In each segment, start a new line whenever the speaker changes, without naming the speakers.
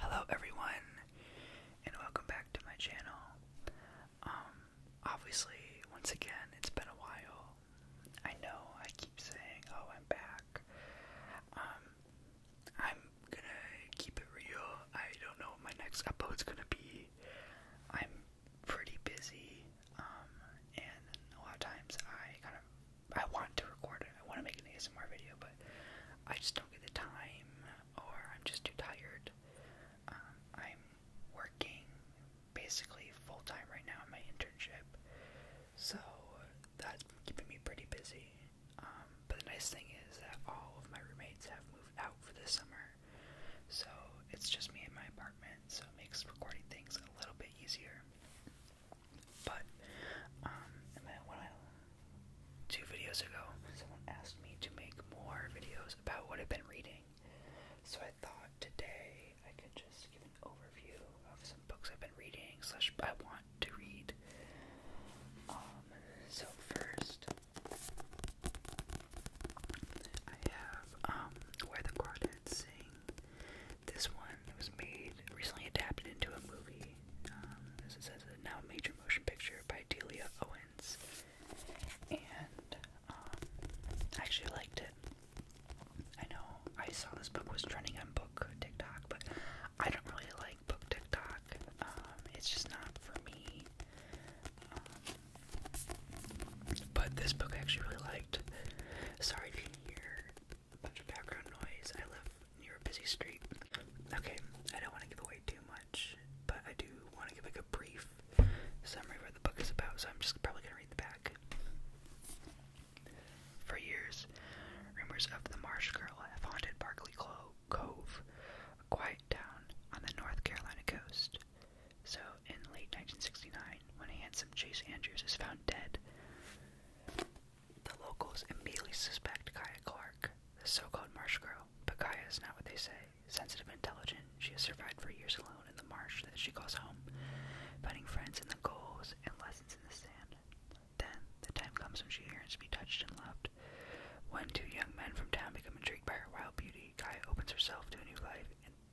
Hello everyone and welcome back to my channel. Um, obviously once again it's been a while. I know I keep saying oh I'm back. Um, I'm gonna keep it real. I don't know what my next upload's gonna be. I'm pretty busy um, and a lot of times I kind of I want to record it. I want to make an ASMR video, but. I just don't get the time, or I'm just too tired. Um, I'm working basically full time right now in my internship, so that's keeping me pretty busy. Um, but the nice thing is that all of my roommates have moved out for the summer, so it's just me in my apartment, so it makes recording things a little bit easier. But um, when I two videos ago, someone asked me to make more videos about what I've been reading. So I thought today I could just give an overview of some books I've been reading slash I want to read. Um, so first I have um, Where the Crawdads Sing. This one was made recently adapted into a movie um, this is a now major motion picture by Delia Owens, and um, I actually liked it. I know I saw this book was trending on book TikTok, but I don't really like book TikTok. Um, it's just not for me. but this book I actually really liked. Sorry to hear background noise. I live near a busy street. Okay, I don't want to give away too much, but I do want to give like a brief summary of what the book is about, so I'm just probably going to read the back. For years, rumors of the Marsh Girl have haunted Barkley Cove, a quiet town on the North Carolina coast. So, in late 1969, when handsome Chase Andrews is found dead, the locals immediately suspect Kaya Clark, the so-called marsh girl, but Kaya is not what they say. Sensitive and intelligent, she has survived for years alone in the marsh that she calls home, finding friends in the goals and lessons in the sand. Then, the time comes when she yearns to be touched and loved. When two young men from town become intrigued by her wild beauty, Kaya opens herself to a new life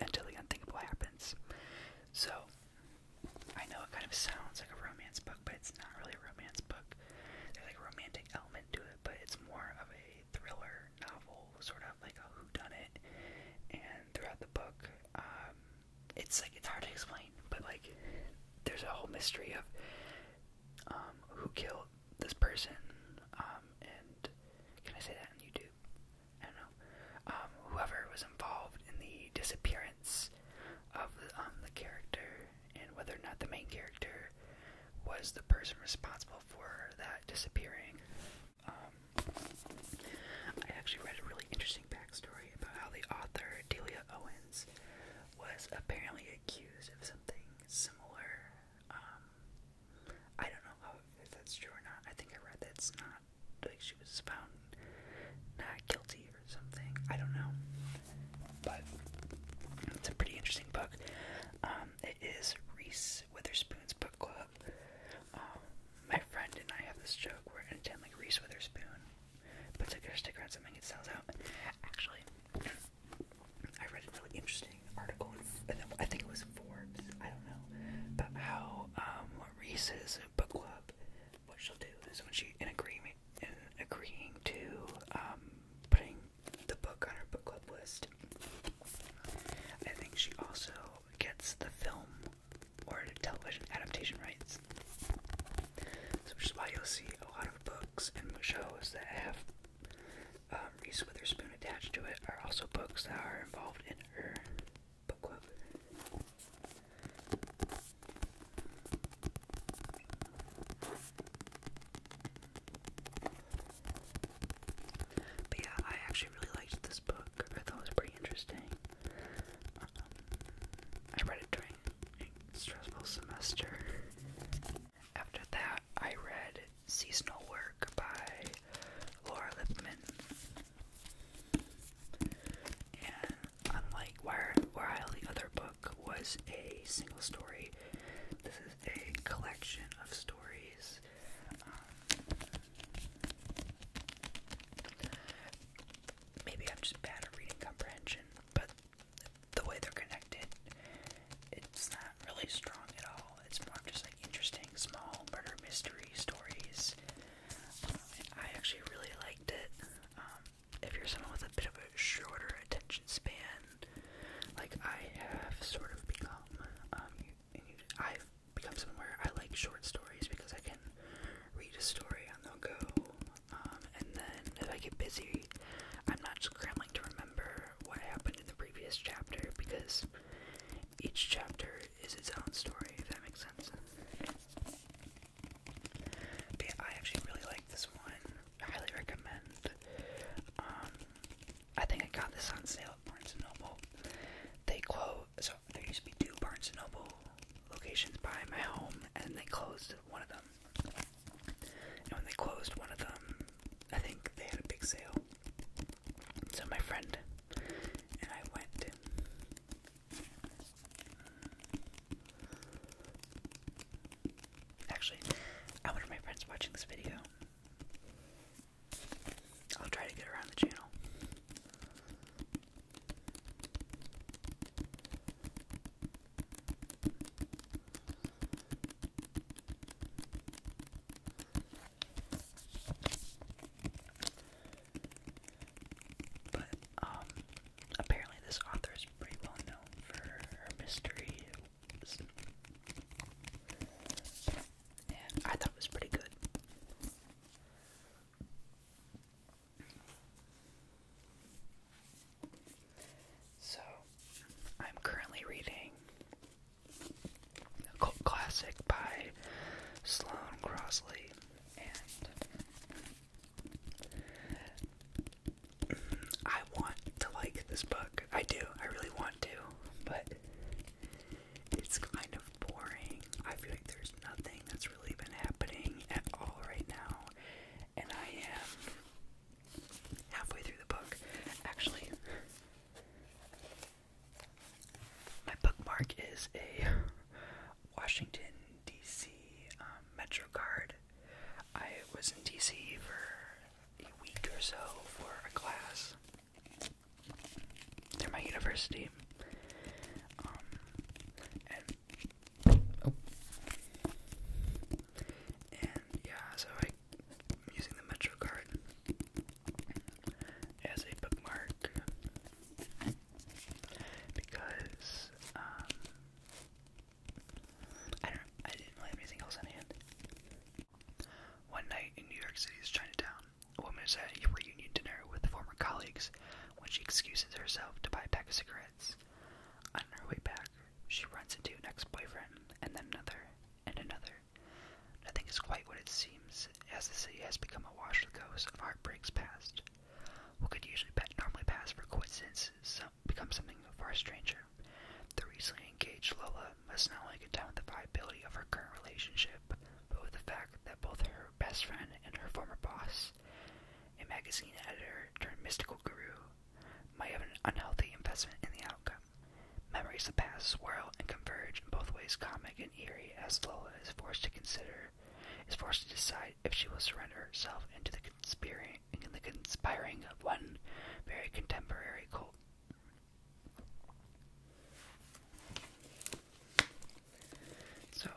until the unthinkable happens. So, I know it kind of sounds like a romance book, but it's not really a romance book. There's like romantic element to it, but it's more of a thriller novel, sort of like a whodunit. And throughout the book, um, it's like it's hard to explain, but like there's a whole mystery of um, who killed this person, um, and can I say that on YouTube? I don't know. whoever was involved in the disappearance of the character and whether or not the main character was the person responsible for that disappearing. Um, I actually read a really interesting backstory about how the author Delia Owens was apparently accused of something similar. Um, I don't know if that's true or not. I think I read that's not like she was found not guilty or something. I don't know. But it's a pretty interesting book. Um, it is Reese Witherspoon's book club. Um, my friend and I have this joke where anytime like Reese Witherspoon puts like, a stick on something, it sells out. Actually, I read a really interesting article. In, I think it was Forbes. I don't know, but how um, Reese's book club. What she'll do is when she in agreement in agreeing to um, putting the book on her book club list. I think she also gets the film or television adaptation rights. which is why you'll see a lot of books and shows that have um, Reese Witherspoon attached to it are also books that are involved in her book club yeah, I actually really liked this book. I thought it was pretty interesting. Um, I read it during stressful semester. After that, I read Seasonal Work by Laura Lipman. And unlike where the other book was a single story, this is a collection of stories. Um, maybe I'm just bad at reading comprehension, but the way they're connected, it's not really strong at all. It's more just like interesting small murder mystery stories. Um, I actually really liked it. Um, if you're someone with a bit of a shorter attention span, like I have sort of become, um, I've become someone where I like short stories because I can read a story on the go, um, and then if I get busy, I'm not scrambling to remember what happened in the previous chapter because each chapter is its own story, if that makes sense yeah, I actually really like this one. highly recommend. Um, I think I got this on sale at Barnes & Noble. They closed, so there used to be two Barnes & Noble locations by my home, and they closed one of them. And when they closed one of them, I think they had a big sale. So my friend and I went Actually, I wonder if my friend's watching this video. I'll try to get around the channel. But um apparently this author is pretty well known for her mystery. And I thought was pretty good. So, I'm currently reading a classic by Sloan Crosley, and I want to like this book. I do. I really want to, but it's kind of boring. I feel like there's nothing that's really been happening at all right now, and I am halfway through the book. Actually, my bookmark is a Washington, D.C the um, MetroCard. I was in DC for a week or so for a class. Through my university, um, oh. and yeah, so I'm using the MetroCard as a bookmark, because um, I don't, I didn't have anything else on hand. One night in New York City's Chinatown, a woman is at a reunion dinner with former colleagues when she excuses herself to buy a pack of cigarettes. On her way back, she runs into an ex-boyfriend, and then another, and another. Nothing is quite what it seems, as the city has become a wash of ghosts of heartbreaks past. What could usually normally pass for coincidence some, becomes something far stranger. The recently engaged Lola must not only contend with the viability of her current relationship, but with the fact that both her best friend and her former boss, a magazine editor turned mystical guru, might have an unhealthy investment in the outcome. Memories of the past swirl and converge in both ways comic and eerie as Lola is forced to consider is forced to decide if she will surrender herself into the conspiring, in the conspiring of one very contemporary cult. So,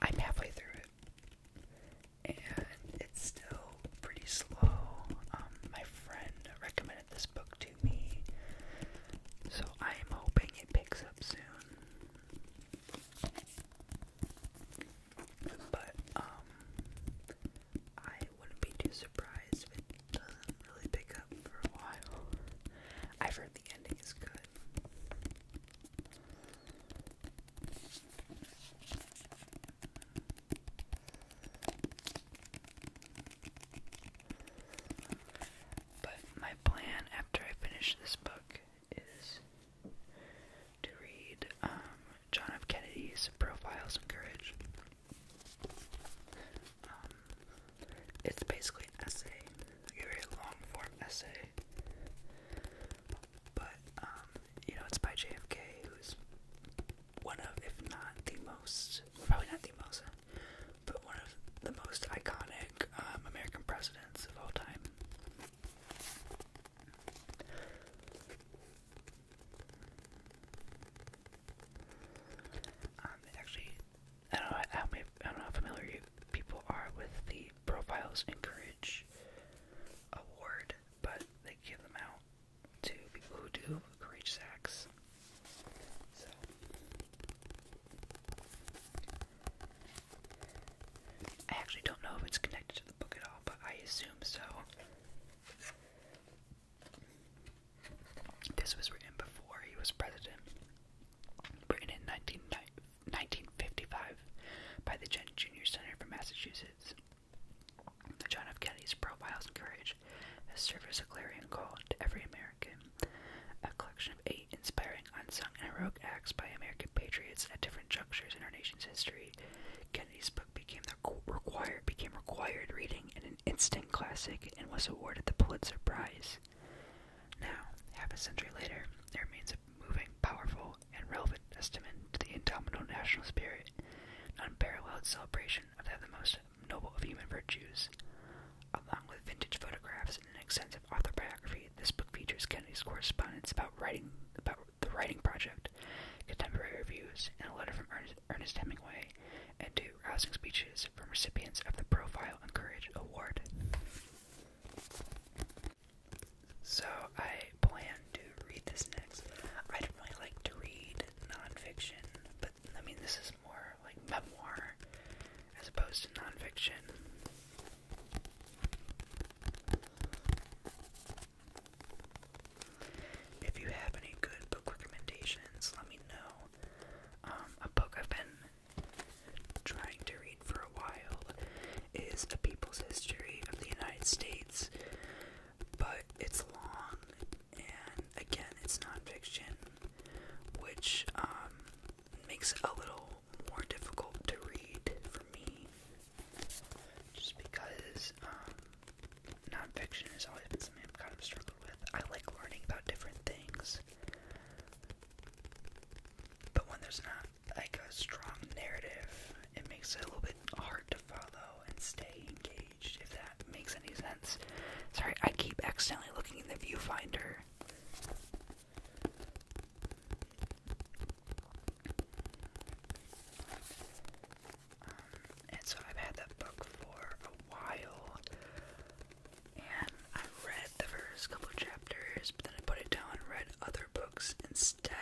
I'm halfway through it, and it's still pretty slow. Um, my friend recommended this book to me, so I'm hoping it picks up soon. But um I wouldn't be too surprised if it doesn't really pick up for a while. I've heard the ending is good. But my plan after I finish this book is to read um, John F. Kennedy's Profiles in Courage. Um, it's basically an essay, a very long form essay. But, um, you know, it's by JFK, who's one of, if not the most, probably not the most, but one of the most iconic pick um, American presidents of all time. Um, actually, I don't know how many, I don't know how familiar people are with the Profiles in Courage award, but they give them out to people who do courage acts. I actually don't know if it's connected to the book at all, but I assume so. This was written before he was president, written in 1955 by the junior Center from Massachusetts. John F. Kennedy's profile and courage has served as clarion call to every American a collection of eight inspiring, unsung, and heroic acts by American patriots at different junctures in our nation's history. Kennedy's book became the required became required reading and an instant classic, and was awarded the Pulitzer Prize. Now, half a century later, there remains a moving, powerful, and relevant testament to the indomitable national spirit, an unparalleled celebration of the most noble of human virtues. Along with vintage photographs an extensive autobiography, this book features Kennedy's correspondence about writing about the writing project, contemporary reviews, and a letter from Ernest Hemingway, and two rousing speeches from recipients of the Profile and Courage Award. So I plan to read this next. I don't really like to read nonfiction, but I mean this is more like memoir as opposed to nonfiction. If you have any good book recommendations, let me know. Um, a book I've been trying to read for a while is A People's History of the United States, but it's long and again, it's nonfiction, which um, makes it a little more difficult to read for me, just because um, nonfiction has always been something I've kind of struggled with. I like learning about different things, but when there's not like a strong narrative, it makes it a little bit hard to follow and stay engaged. If that makes any sense. Sorry, I keep accidentally looking in the viewfinder and so I've had that book for a while, and I read the first couple chapters, but then I put it down and read other books instead.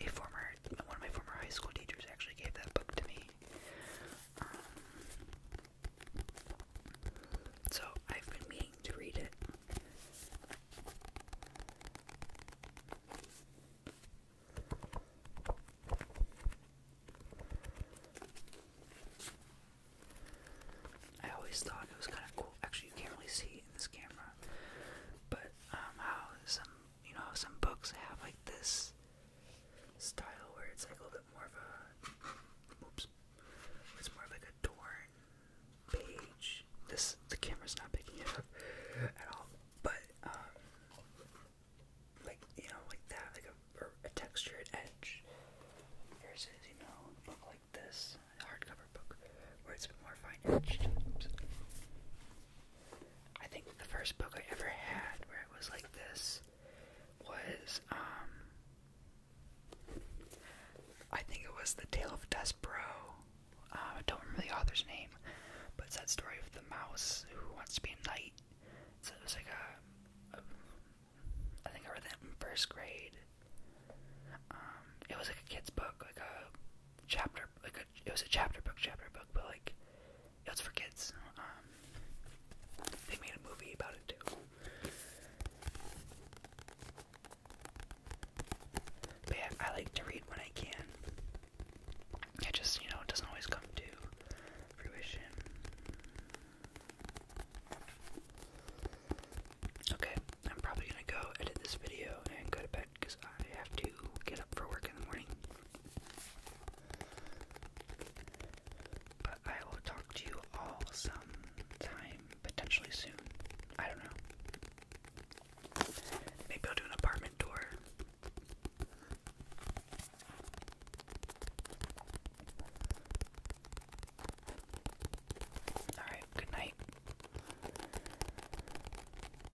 A former one of my former high school teachers actually gave that book to me. Um, so I've been meaning to read it. I always thought it was kind of cool. Actually, you can't really see in this camera, but um, how some you know, some books have like this style where it's like a little bit more of a, oops, it's more of like a torn page. This the camera's not picking it up at all, but um, like you know, like that, like a, or a textured edge. Here's is you know, a book like this, a hardcover book, where it's a bit more fine edged. I think the first book I ever had where it was like this was, um, I think it was The Tale of Despero. Uh, um, I don't remember the author's name, but it's that story of the mouse who wants to be a knight. So it was like a I think I read that in first grade. Um, it was like a kid's book, like a chapter, like a it was a chapter book, chapter book, but like it's for kids. Um, they made a movie about it too. I like to read when I can. It just, you know, it doesn't always come to fruition. Okay, I'm probably gonna go edit this video and go to bed because I have to get up for work in the morning. But I will talk to you all sometime, potentially soon. I don't know. Maybe I'll do an apartment tour. Alright, good night.